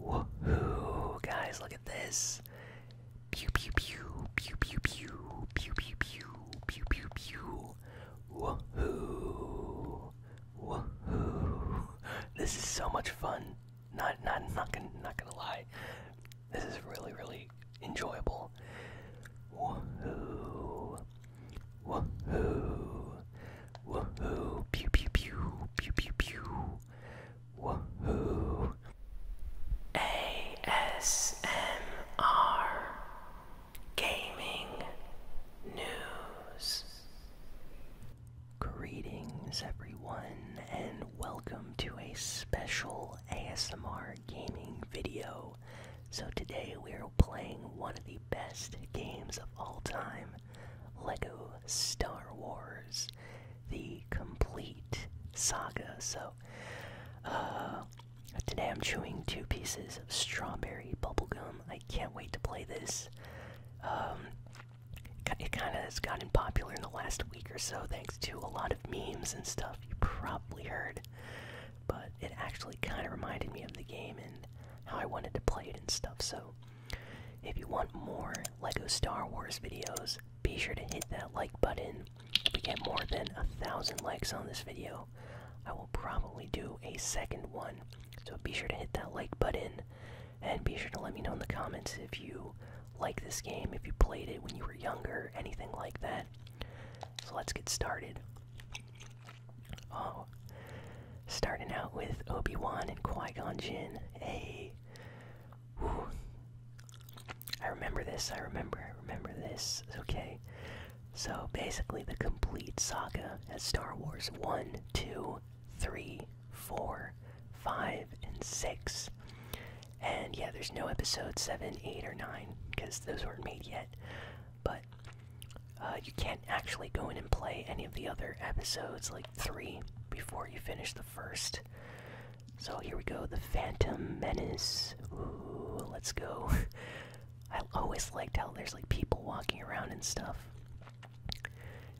Woohoo! Guys, look at this. Pew pew pew pew pew pew pew pew pew pew pew pew. Woohoo! Woohoo! This is so much fun. Not not not gonna not gonna lie. This is really really enjoyable. Woohoo! Woohoo! Woohoo! Pew pew pew pew pew pew. Woohoo! ASMR Gaming News. Greetings, everyone, and welcome to a special ASMR gaming video. So, today we are playing one of the best games of all time Lego Star Wars The Complete Saga. So, uh, today I'm chewing two pieces of strawberry bubblegum. I can't wait to play this. Um, it kind of has gotten popular in the last week or so thanks to a lot of memes and stuff you probably heard. But it actually kind of reminded me of the game and how I wanted to play it and stuff. So if you want more LEGO Star Wars videos, be sure to hit that like button. If we get more than a thousand likes on this video, I will probably do a second one. So be sure to hit that like button and be sure to let me know in the comments if you like this game, if you played it when you were younger, anything like that. So let's get started. Oh, Starting out with Obi Wan and Qui Gon Jinn. Hey, I remember this. I remember. I remember this. Okay, so basically the complete saga as Star Wars one, two, three, four, five, and six. And yeah, there's no episode seven, eight, or nine because those weren't made yet. But uh, you can not actually go in and play any of the other episodes, like three, before you finish the first. So here we go, The Phantom Menace. let's go. I always liked how there's like people walking around and stuff.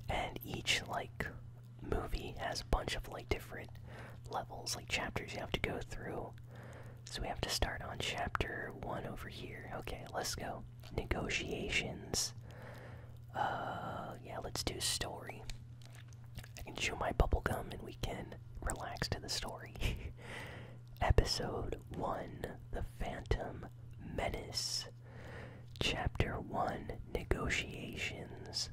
And each like movie has a bunch of like different levels, like chapters you have to go through. So we have to start on chapter 1 over here. Okay, let's go. Negotiations. Uh, yeah, let's do story. I can chew my bubble gum and we can relax to the story. Episode 1 The Phantom Menace. Chapter 1 Negotiations.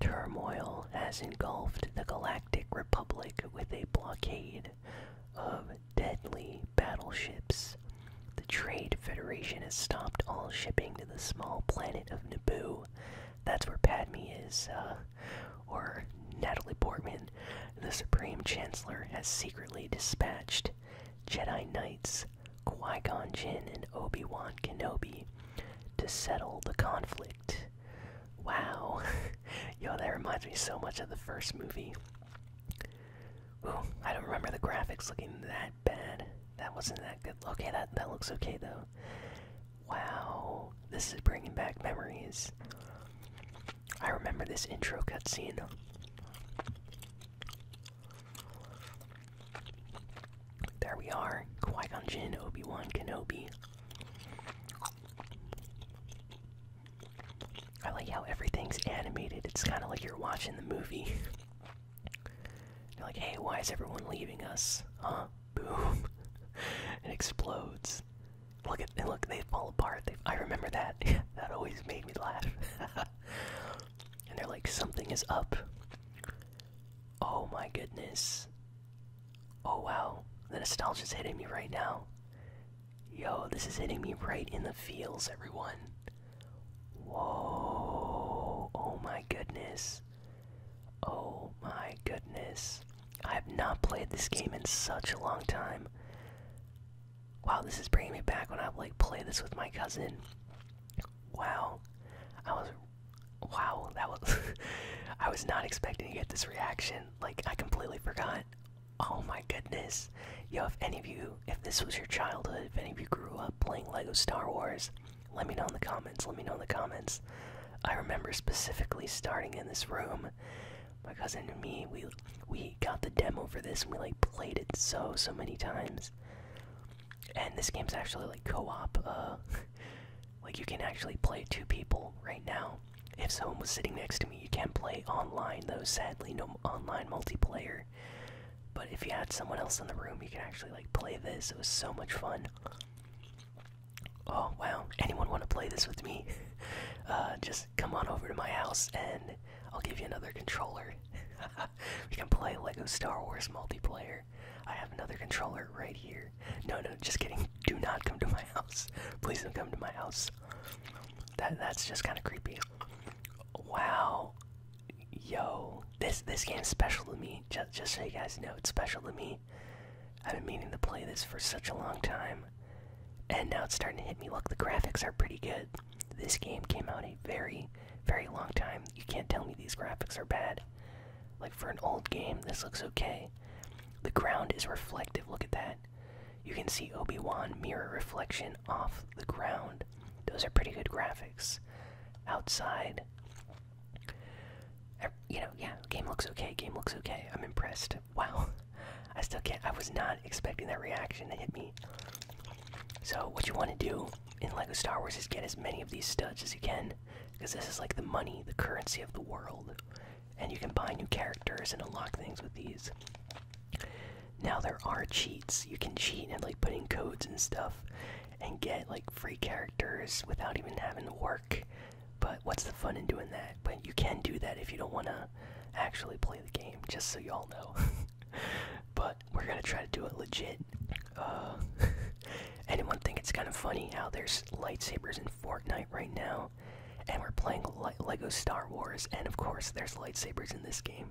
Turmoil has engulfed the Galactic Republic with a blockade of deadly battleships. The Trade Federation has stopped all shipping to the small planet of Naboo. That's where Padme is, uh, or Natalie Portman. The Supreme Chancellor has secretly dispatched Jedi Knights, Qui Gon Jinn, and Obi Wan Kenobi to settle the conflict. Wow. Yo, that reminds me so much of the first movie. Ooh, I don't remember the graphics looking that bad. That wasn't that good. Okay, that, that looks okay though. Wow, this is bringing back memories. I remember this intro cutscene. There we are, Qui-Gon Jinn, Obi-Wan Kenobi. I like how everything's animated. It's kind of like you're watching the movie. you're like, hey, why is everyone leaving us? Huh? Boom. it explodes. Look at and look, they fall apart. I remember that. that always made me laugh. and they're like, something is up. Oh my goodness. Oh wow. The nostalgia's hitting me right now. Yo, this is hitting me right in the feels, everyone. Whoa! Oh my goodness! Oh my goodness! I have not played this game in such a long time. Wow, this is bringing me back when I like played this with my cousin. Wow, I was. Wow, that was. I was not expecting to get this reaction. Like I completely forgot. Oh my goodness. Yo, if any of you, if this was your childhood, if any of you grew up playing LEGO Star Wars, let me know in the comments. Let me know in the comments. I remember specifically starting in this room. My cousin and me, we we got the demo for this and we like played it so so many times. And this game's actually like co-op. Uh, like you can actually play two people right now. If someone was sitting next to me, you can play online though. Sadly, no online multiplayer. But if you had someone else in the room, you could actually like play this. It was so much fun. Oh wow! Anyone want to play this with me? Uh, just come on over to my house and I'll give you another controller. we can play Lego Star Wars multiplayer. I have another controller right here. No, no, just kidding. Do not come to my house. Please don't come to my house. That that's just kind of creepy. Wow. Yo, this this is special to me. Just just so you guys know, it's special to me. I've been meaning to play this for such a long time, and now it's starting to hit me. Look, the graphics are pretty good. This game came out a very, very long time. You can't tell me these graphics are bad. Like for an old game, this looks okay. The ground is reflective. Look at that. You can see Obi Wan mirror reflection off the ground. Those are pretty good graphics. Outside, you know, yeah, game looks okay. Game looks okay. I'm impressed. Wow, I still can't. I was not expecting that reaction to hit me. So what you want to do in LEGO Star Wars is get as many of these studs as you can, because this is like the money, the currency of the world, and you can buy new characters and unlock things with these. Now there are cheats. You can cheat and like putting codes and stuff and get like free characters without even having to work. But what's the fun in doing that? But you can do that if you don't want to actually play the game, just so y'all know. but we're gonna try to do it legit. Uh, anyone think it's kind of funny how there's lightsabers in Fortnite right now, and we're playing Lego Star Wars, and of course there's lightsabers in this game.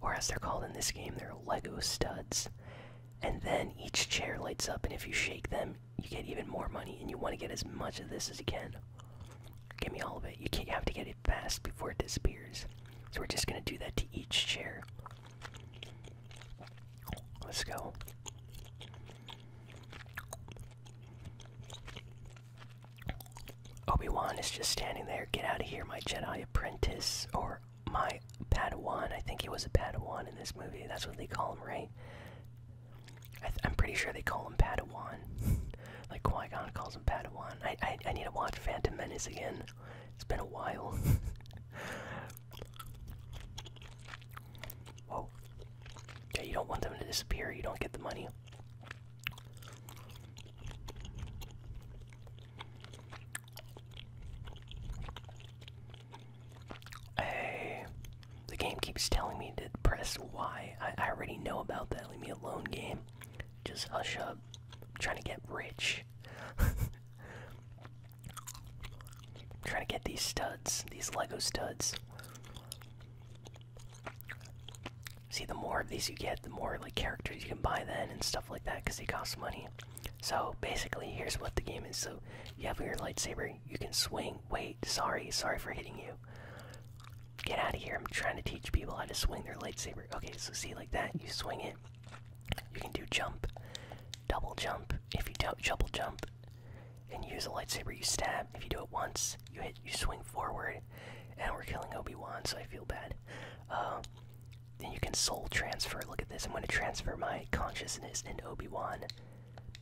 Or as they're called in this game, they're Lego studs. And then each chair lights up, and if you shake them, you get even more money, and you want to get as much of this as you can. Give me all of it. You, have to get it fast before it disappears. So we're just going to do that to each chair. Let's go. Obi-Wan is just standing there. Get out of here, my Jedi apprentice. Or my Padawan. I think he was a Padawan in this movie. That's what they call him, right? I am pretty sure they call him Padawan. like Qui Gon calls him Padawan. I, I need to watch Phantom Menace again. It's been a while. Whoa. you don't want them to disappear. You don't get the money. Hey, the game keeps telling me to press Y. I already know about that. Leave me alone, game. Just hush up. trying to get rich. trying to get these studs, these Lego studs. See, the more of these you get, the more like characters you can buy then and stuff like that, because they cost money. So basically, here's what the game is. So you have your lightsaber, you can swing. Wait, sorry, sorry for hitting you. Get out of here. I'm trying to teach people how to swing their lightsaber. Okay, so see, like that, you swing it. You can do jump, double jump. If you double jump and use a lightsaber, you stab. If you do it once, you hit, you swing forward. And we're killing Obi Wan, so I feel bad. Uh, and you can soul transfer. Look at this. I'm going to transfer my consciousness into Obi Wan.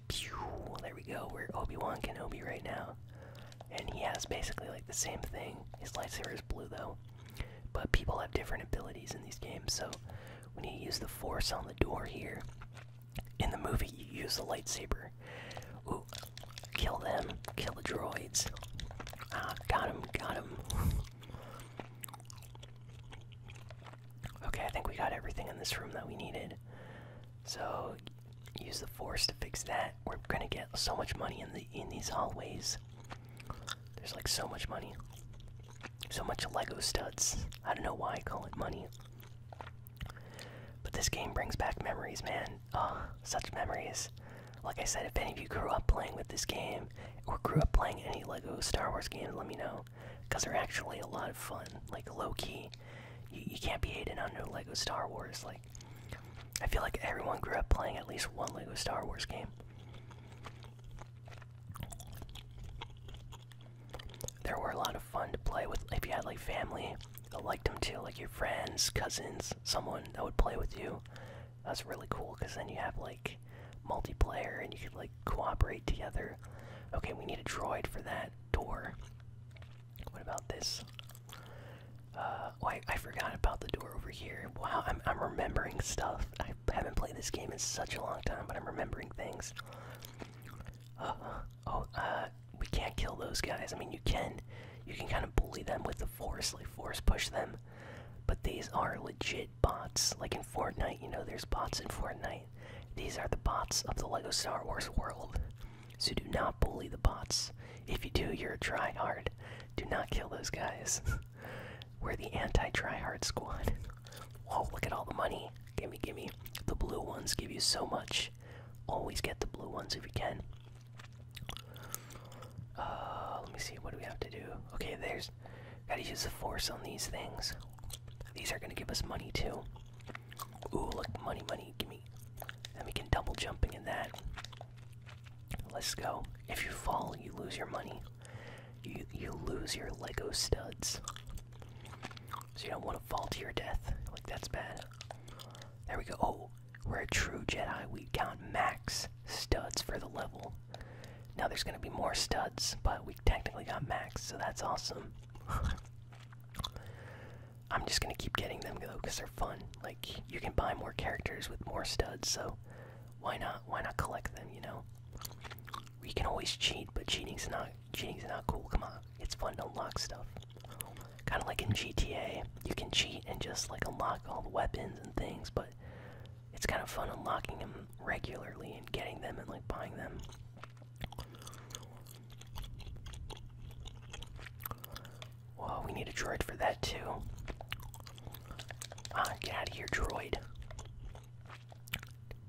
Pew! There we go. We're Obi Wan Kenobi right now. And he has basically like the same thing. His lightsaber is blue though. But people have different abilities in these games, so we need to use the force on the door here, in the movie you use the lightsaber. Ooh, kill them, kill the droids. Ah, got him, got him. Okay, I think we got everything in this room that we needed. So use the force to fix that. We're gonna get so much money in the in these hallways. There's like so much money. So much Lego studs. I don't know why I call it money. But this game brings back memories, man. Ah, such memories. Like I said, if any of you grew up playing with this game or grew up playing any LEGO Star Wars game, let me know. Because they're actually a lot of fun. Like, low key. You, can't be hated on no LEGO Star Wars. Like, I feel like everyone grew up playing at least one LEGO Star Wars game. There were a lot of fun to play with if you had like family. I liked them too, like your friends, cousins, someone that would play with you. That's really cool because then you have like multiplayer and you can like cooperate together. Okay, we need a droid for that door. What about this? Uh, oh, I, I forgot about the door over here. Wow, I'm, I'm remembering stuff. I haven't played this game in such a long time, but I'm remembering things. Uh, oh, uh, we can't kill those guys. I mean, you can. You can kind of bully them with the force, like force push them but these are legit bots. Like in Fortnite, you know, there's bots in Fortnite. These are the bots of the LEGO Star Wars world. So do not bully the bots. If you do, you're a tryhard. Do not kill those guys. We're the anti-tryhard squad. Whoa, look at all the money. Gimme, gimme. The blue ones give you so much. Always get the blue ones if you can. Uh, let me see. What do we have to do? Okay, there's. Gotta use the force on these things. These are gonna give us money too. Ooh, look, money, money, gimme. And we can double jumping in that. Let's go. If you fall, you lose your money. You you lose your Lego studs. So you don't want to fall to your death. Like that's bad. There we go. Oh, we're a true Jedi. We count max studs for the level. Now there's going to be more studs, but we technically got max, so that's awesome. I'm just going to keep getting them though because they're fun. Like you can buy more characters with more studs, so why not? Why not collect them? You know, we can always cheat, but cheating's not cheating's not cool. Come on, it's fun to unlock stuff. Kind of like in GTA, you can cheat and just like unlock all the weapons and things, but it's kind of fun unlocking them regularly and getting them and like buying them. Whoa, we need a droid for that too. Ah, get out of here, droid.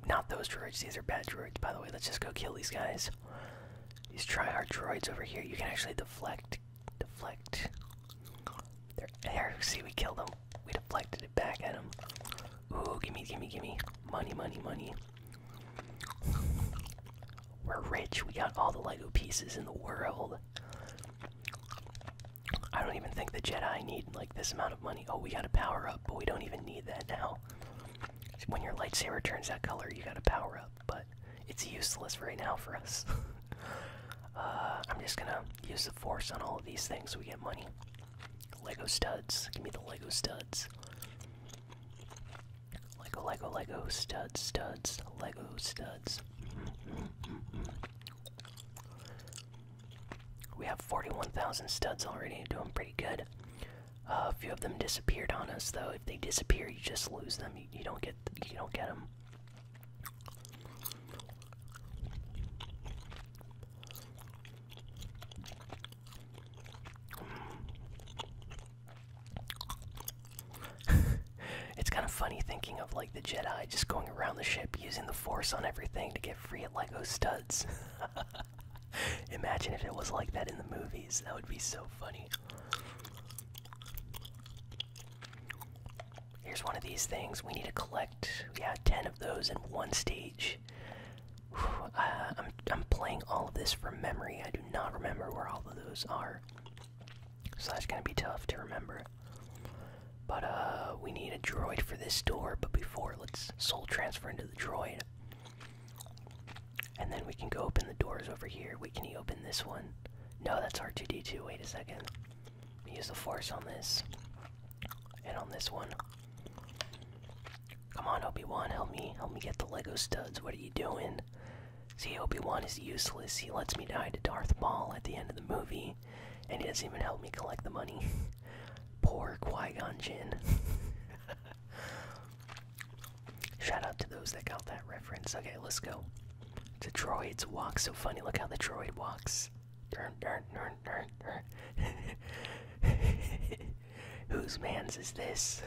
Not those droids, these are bad droids, by the way. Let's just go kill these guys. These triarch droids over here. You can actually deflect, deflect, there, there, see, we killed him. We deflected it back at him. Ooh, gimme, gimme, gimme. Money, money, money. We're rich. We got all the Lego pieces in the world. I don't even think the Jedi need, like, this amount of money. Oh, we got a power up, but we don't even need that now. When your lightsaber turns that color, you got a power up, but it's useless right now for us. Uh, I'm just gonna use the force on all of these things so we get money. Lego studs. Give me the Lego studs. Lego, Lego, Lego, studs, studs, Lego studs. We have 41,000 studs already, doing pretty good. Uh, a few of them disappeared on us, though. If they disappear, you just lose them. you don't get, you don't get them. it's kind of funny thinking of like the Jedi just going around the ship using the Force on everything to get free at Lego studs. Imagine if it was like that in the movies. That would be so funny. Here's one of these things. We need to collect, yeah, 10 of those in one stage. Uh, I'm, I'm playing all of this from memory. I do not remember where all of those are. So that's going to be tough to remember. But uh, we need a droid for this door. But before, let's soul transfer into the droid. And then we can go open the doors over here. We can open this one? No, that's R2D2. Wait a second. Use the force on this. And on this one. Come on, Obi-Wan, help me. Help me get the Lego studs. What are you doing? See, Obi-Wan is useless. He lets me die to Darth Maul at the end of the movie. And he doesn't even help me collect the money. Poor Qui-Gon Jinn. Shout out to those that got that reference. Okay, let's go. The droids walk so funny. Look how the droid walks. Whose man's is this?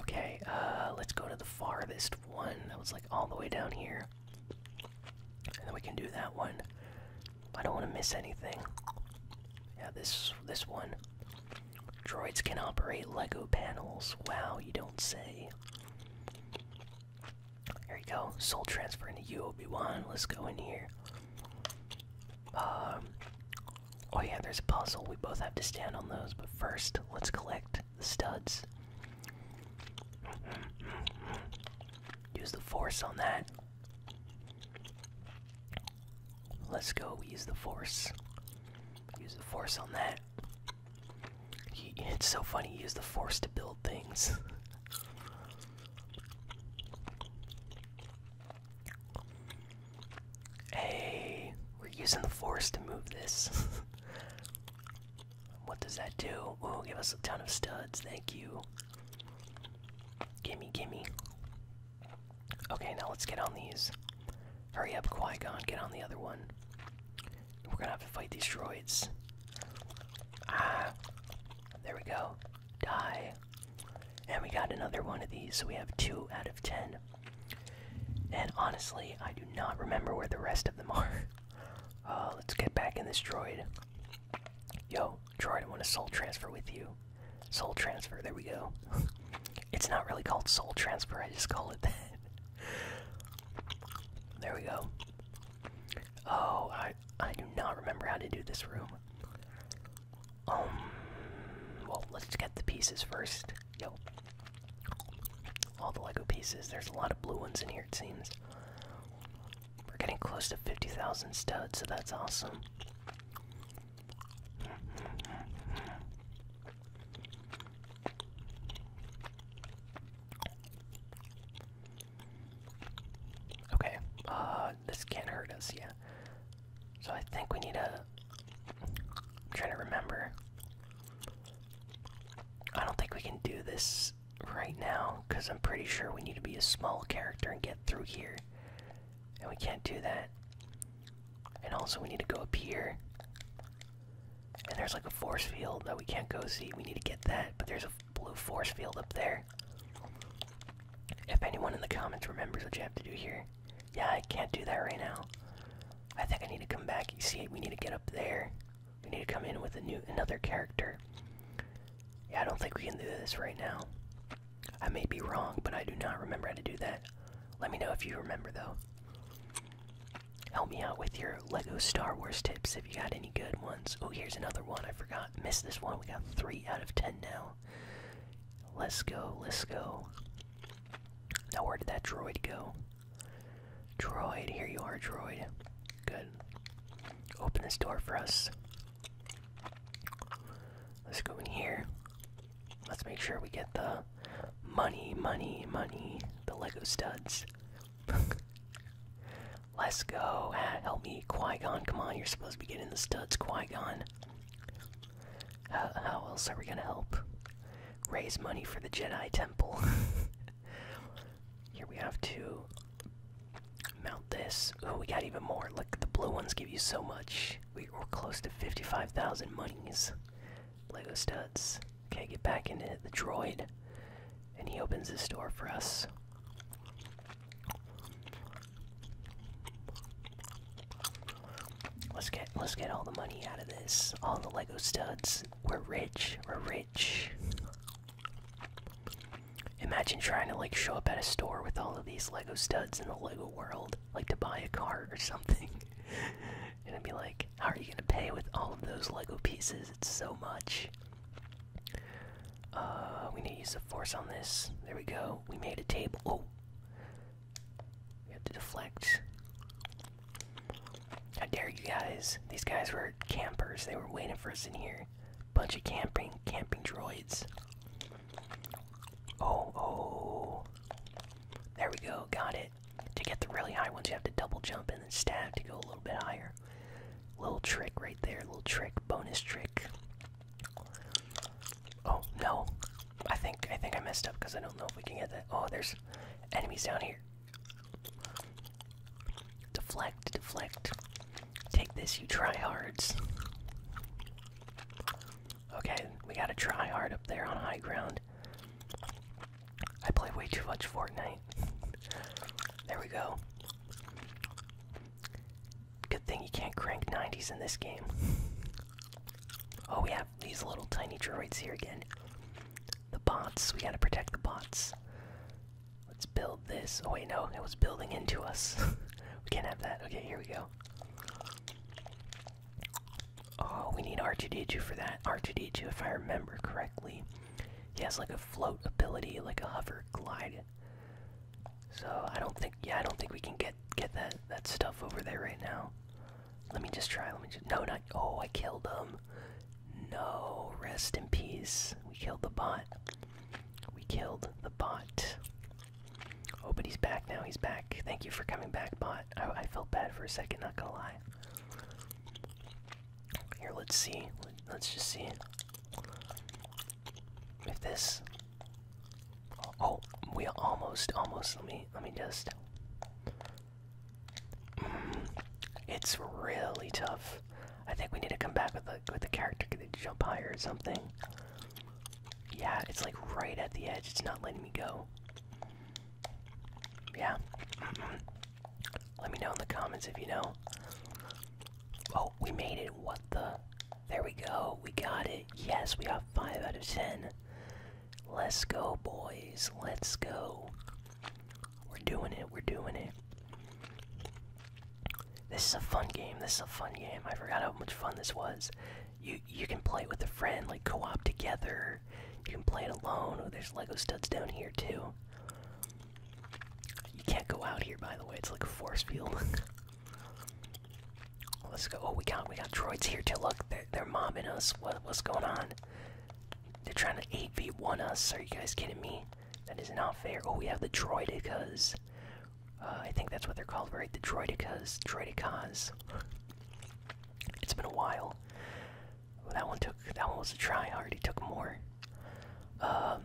Okay, uh, let's go to the farthest one. That was like all the way down here. And then we can do that one. I don't want to miss anything. Yeah, this this one. Droids can operate Lego panels. Wow, you don't say. Here you go. Soul transfer into you, Obi-Wan. Let's go in here. Um, oh yeah, there's a puzzle. We both have to stand on those, but first, let's collect the studs. Mm-hmm. Use the force on that. Let's go. use the force. Use the force on that. it's so funny. He used the force to build things. hey, we're using the force to move this. what does that do? Oh, give us a ton of studs. Thank you. Gimme, gimme. Okay, now let's get on these. Hurry up, Qui Gon, get on the other one. We're gonna have to fight these droids. Ah! There we go. Die. And we got another one of these, so we have two out of ten. And honestly, I do not remember where the rest of them are. Uh, let's get back in this droid. Yo, droid, I want a soul transfer with you. Soul transfer, there we go. It's not really called soul transfer, I just call it that. there we go. Oh, I I do not remember how to do this room. Um well let's get the pieces first. Yo. All the Lego pieces. There's a lot of blue ones in here it seems. We're getting close to 50,000 studs, so that's awesome. Okay, uh, this can't hurt us, yeah. So I think we need a. I'm trying to remember. I don't think we can do this right now, because I'm pretty sure we need to be a small character and get through here. And we can't do that. And also, we need to go up here. And there's like a force field that we can't go see. We need to get that, but there's a blue force field up there. If anyone in the comments remembers what you have to do here. Yeah, I can't do that right now. I think I need to come back. You see, we need to get up there. We need to come in with a new another character. Yeah, I don't think we can do this right now. I may be wrong, but I do not remember how to do that. Let me know if you remember though. Help me out with your Lego Star Wars tips if you got any good ones. Oh, here's another one I forgot. Missed this one. We got three out of ten now. Let's go, let's go. Now, where did that droid go? Droid, here you are, droid. Good. Open this door for us. Let's go in here. Let's make sure we get the money, money, money, the Lego studs. Let's go. help me, Qui Gon. Come on, you're supposed to be getting the studs, Qui Gon. How, else are we gonna help? Raise money for the Jedi Temple. Here we have to mount this. Oh, we got even more. Look, the blue ones give you so much. we're close to 55,000 monies. Lego studs. Okay, get back into the droid. And he opens this door for us. Let's get let's get all the money out of this. All the Lego studs. We're rich. We're rich. Imagine trying to like show up at a store with all of these Lego studs in the Lego world, like to buy a car or something. gonna be like, how are you gonna pay with all of those Lego pieces? It's so much. Uh, we need to use the force on this. There we go. We made a table. Oh, we have to deflect. How dare you guys? These guys were campers. They were waiting for us in here. Bunch of camping, camping droids. Oh, oh. There we go, got it. To get the really high ones, you have to double jump and then stab to go a little bit higher. Little trick right there, little trick, bonus trick. Oh no, I think I think I messed up because I don't know if we can get that. Oh, there's enemies down here. Deflect, deflect. Take this, you tryhards. Okay, we got a tryhard up there on high ground. I play way too much Fortnite. there we go. Good thing you can't crank 90s in this game. Oh, we have these little tiny droids here again. The bots. We gotta protect the bots. Let's build this. Oh, wait, no. It was building into us. we can't have that. Okay, here we go. Oh, we need R2D2 for that. R2D2, if I remember correctly, he has like a float ability, like a hover glide. So I don't think, yeah, I don't think we can get get that that stuff over there right now. Let me just try. Let me just. No, not. Oh, I killed him. No, rest in peace. We killed the bot. We killed the bot. Oh, but he's back now. He's back. Thank you for coming back, bot. I, felt bad for a second, not gonna lie. Here, let's see. Let's just see if this. Oh, we almost, almost. Let me, let me just. Mm, it's really tough. I think we need to come back with the with the character to jump higher or something. Yeah, it's like right at the edge. It's not letting me go. Yeah. Let me know in the comments if you know. Oh, we made it. What the? There we go. We got it. Yes, we got 5 out of 10. Let's go, boys. Let's go. We're doing it. We're doing it. This is a fun game. This is a fun game. I forgot how much fun this was you you can play with a friend, like co-op together. You can play it alone. Oh, there's Lego studs down here too. You can't go out here, by the way. It's like a force field. Let's go. Oh, we got we got droids here to Look, they're they're mobbing us. What what's going on? They're trying to eight v one us. Are you guys kidding me? That is not fair. Oh, we have the droidicas. Uh, I think that's what they're called, right? The droidicas. Droidicas. It's been a while. that one took that one was a try I already took more. Um,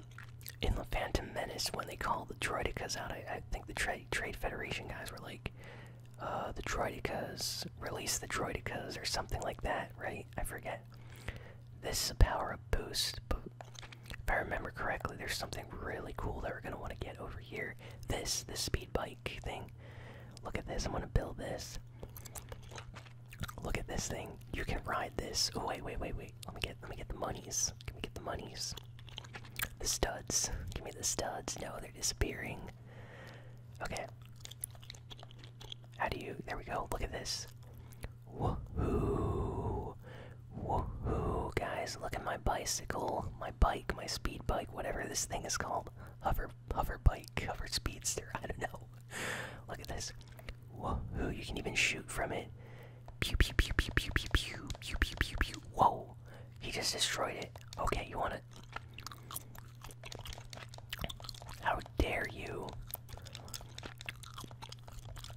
in the Phantom Menace, when they called the Droidicas out, I, think the Trade Federation guys were like, uh, "The Droidicas, release the Droidicas," or something like that, right? I forget. This is a power boost, if I remember correctly, there's something really cool that we're gonna want to get over here. This, this speed bike thing. Look at this. I'm gonna build this. Look at this thing. You can ride this. Oh wait, wait, wait, wait. Let me get let me get the monies. Let me get the monies. The studs. Give me the studs. No, they're disappearing. Okay. How do you there we go, look at this. Woohoo! Woohoo guys, look at my bicycle. My bike my speed bike, whatever this thing is called. Hover, hover bike, hover speedster. I don't know. Look at this. Whoa! You can even shoot from it. Whoa! He just destroyed it. Okay, you want it? How dare you?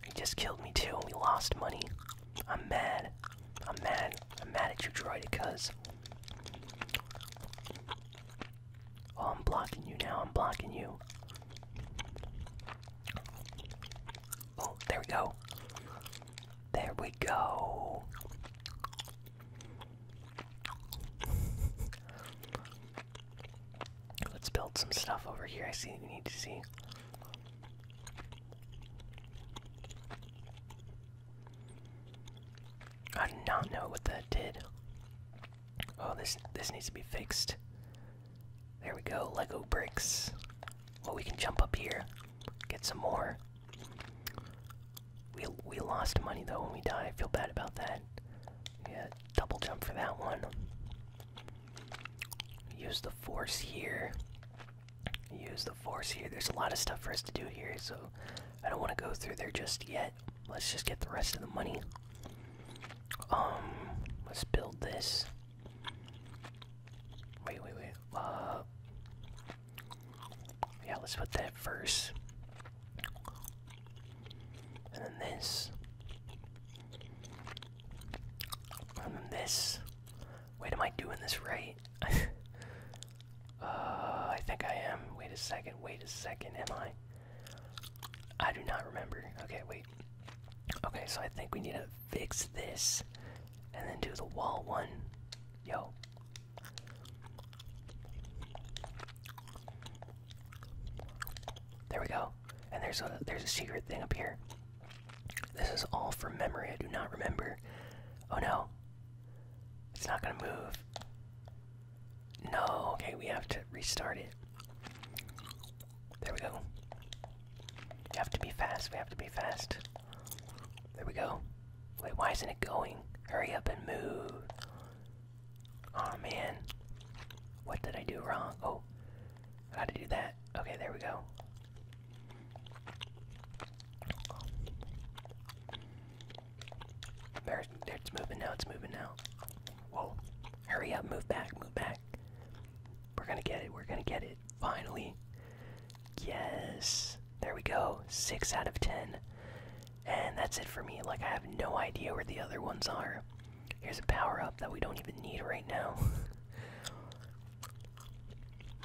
He just killed me too. and We lost money. I'm mad. I'm mad. I'm mad at you, Droid, because. Oh, I'm blocking you now. I'm blocking you. Oh, there we go. There we go. Let's build some stuff over here. I see we need to see. I do not know what that did. Oh, this this needs to be fixed. There we go, Lego bricks. Well, we can jump up here, get some more. We we lost money though when we died. feel bad about that. Yeah, double jump for that one. Use the force here use the force here. There's a lot of stuff for us to do here, so I don't want to go through there just yet. Let's just get the rest of the money. Um, let's build this. Wait, wait, wait. Uh, yeah, let's put that first. And then this. And then this. Wait, am I doing this right? uh, I think I am. Wait a second, wait a second, am I? I do not remember. Okay, wait. Okay, so I think we need to fix this and then do the wall one. Yo. There we go. And there's a there's a secret thing up here. This is all from memory. I do not remember. Oh no. It's not going to move. No. Okay, we have to restart it. There we go. We have to be fast. We have to be fast. There we go. Wait, why isn't it going? Hurry up and move. Oh man. What did I do wrong? Oh. How to do that? Okay, there we go. There, it's moving now, it's moving now. Whoa. Hurry up, move back, move back. We're gonna get it, we're gonna get it. Finally. Yes. There we go. Six out of ten. And that's it for me. Like, I have no idea where the other ones are. Here's a power up that we don't even need right now.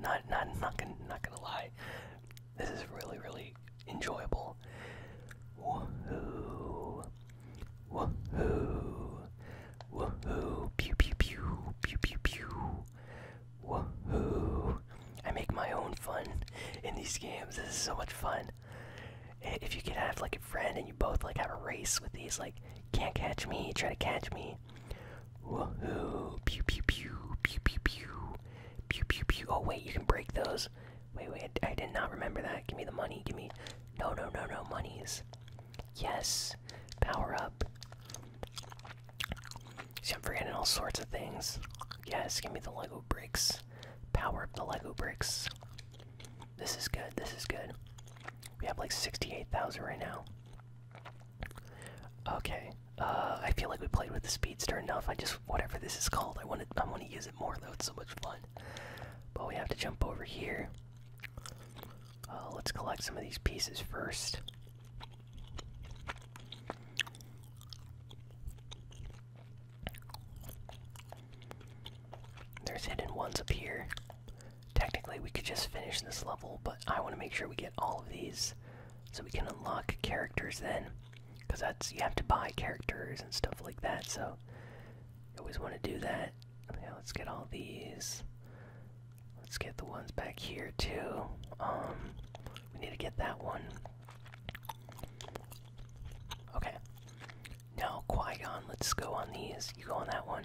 Not not not gonna not gonna lie. This is really really enjoyable. Woohoo! Woohoo! Woohoo! Pew pew pew pew pew pew. Woohoo! I make my own fun in these games. This is so much fun. If you can have like a friend and you both like have a race with these, like can't catch me, try to catch me. Woohoo! Pew pew pew pew pew pew pew pew pew. Oh wait, you can break those. Wait wait, I did not remember that. Give me the money. Give me. No no no no monies. Yes. Power up. See, I'm forgetting all sorts of things. Yes, give me the Lego bricks. Power up the Lego bricks. This is good. This is good. We have like 68,000 right now. Okay. Uh, I feel like we played with the speedster enough. I just whatever this is called, I want to I want to use it more though. It's so much fun. But we have to jump over here. Uh, let's collect some of these pieces first. There's hidden ones up here. Technically, we could just finish this level, but I want to make sure we get all of these so we can unlock characters then. Because that's you have to buy characters and stuff like that, so you always want to do that. Okay, let's get all these. Let's get the ones back here too. Um, we need to get that one. Okay. Now Qui Gon, let's go on these. You go on that one.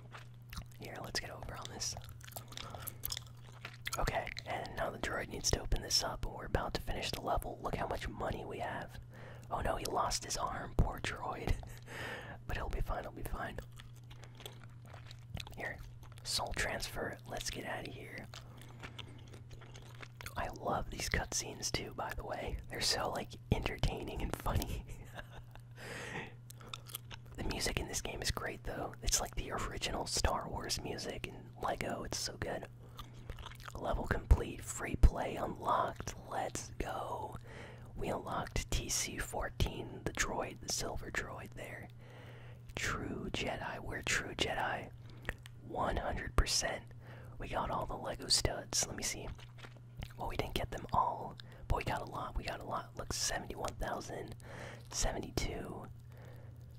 Here, let's get over on this. Okay, and now the droid needs to open this up. We're about to finish the level. Look how much money we have. Oh no, he lost his arm. Poor droid. but he'll be fine, he'll be fine. Here, soul transfer. Let's get out of here. I love these cutscenes too, by the way. They're so, like, entertaining and funny. the music in this game is great, though. It's like the original Star Wars music and Lego. It's so good. Level complete, free play unlocked. Let's go. We unlocked TC14, the droid, the silver droid there. True Jedi, we're true Jedi. 100%. We got all the Lego studs. Let me see. Well, we didn't get them all, but we got a lot. We got a lot. Look, 71,000, 72,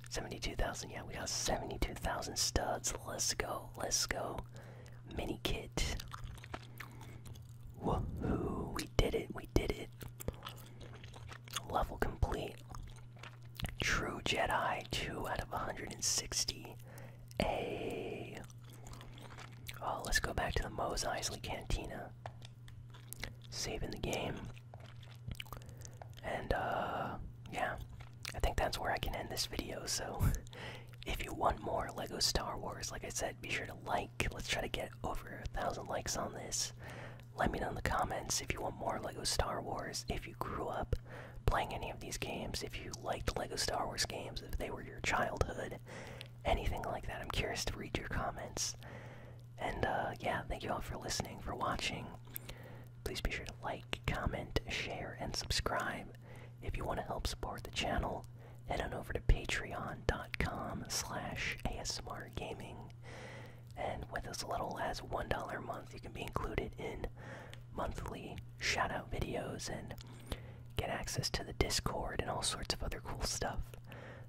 72,000. Yeah, we got 72,000 studs. Let's go. Let's go. Mini kit. Woohoo. We did it. We did it. Level complete. True Jedi. 2 out of 160. Oh, let's go back to the Mose Eisley Cantina. Saving the game. And, uh, yeah. I think that's where I can end this video, so if you want more LEGO Star Wars, like I said, be sure to like. Let's try to get over a thousand likes on this. Let me know in the comments if you want more LEGO Star Wars, if you grew up playing any of these games, if you liked LEGO Star Wars games, if they were your childhood, anything like that. I'm curious to read your comments. And uh, yeah, thank you all for listening, for watching. Please be sure to like, comment, share, and subscribe. If you want to help support the channel, head on over to patreon.com slash asmrgaming. And with as little as $1 a month, you can be included in monthly shout-out videos and get access to the Discord and all sorts of other cool stuff.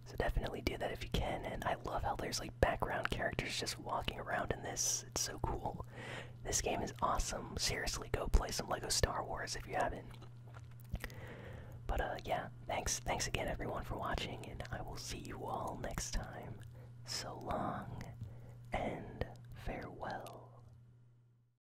So definitely do that if you can. And I love how there's like background characters just walking around in this. It's so cool. This game is awesome. Seriously, go play some LEGO Star Wars if you haven't. But uh yeah, thanks thanks again everyone for watching and I will see you all next time. So long and farewell.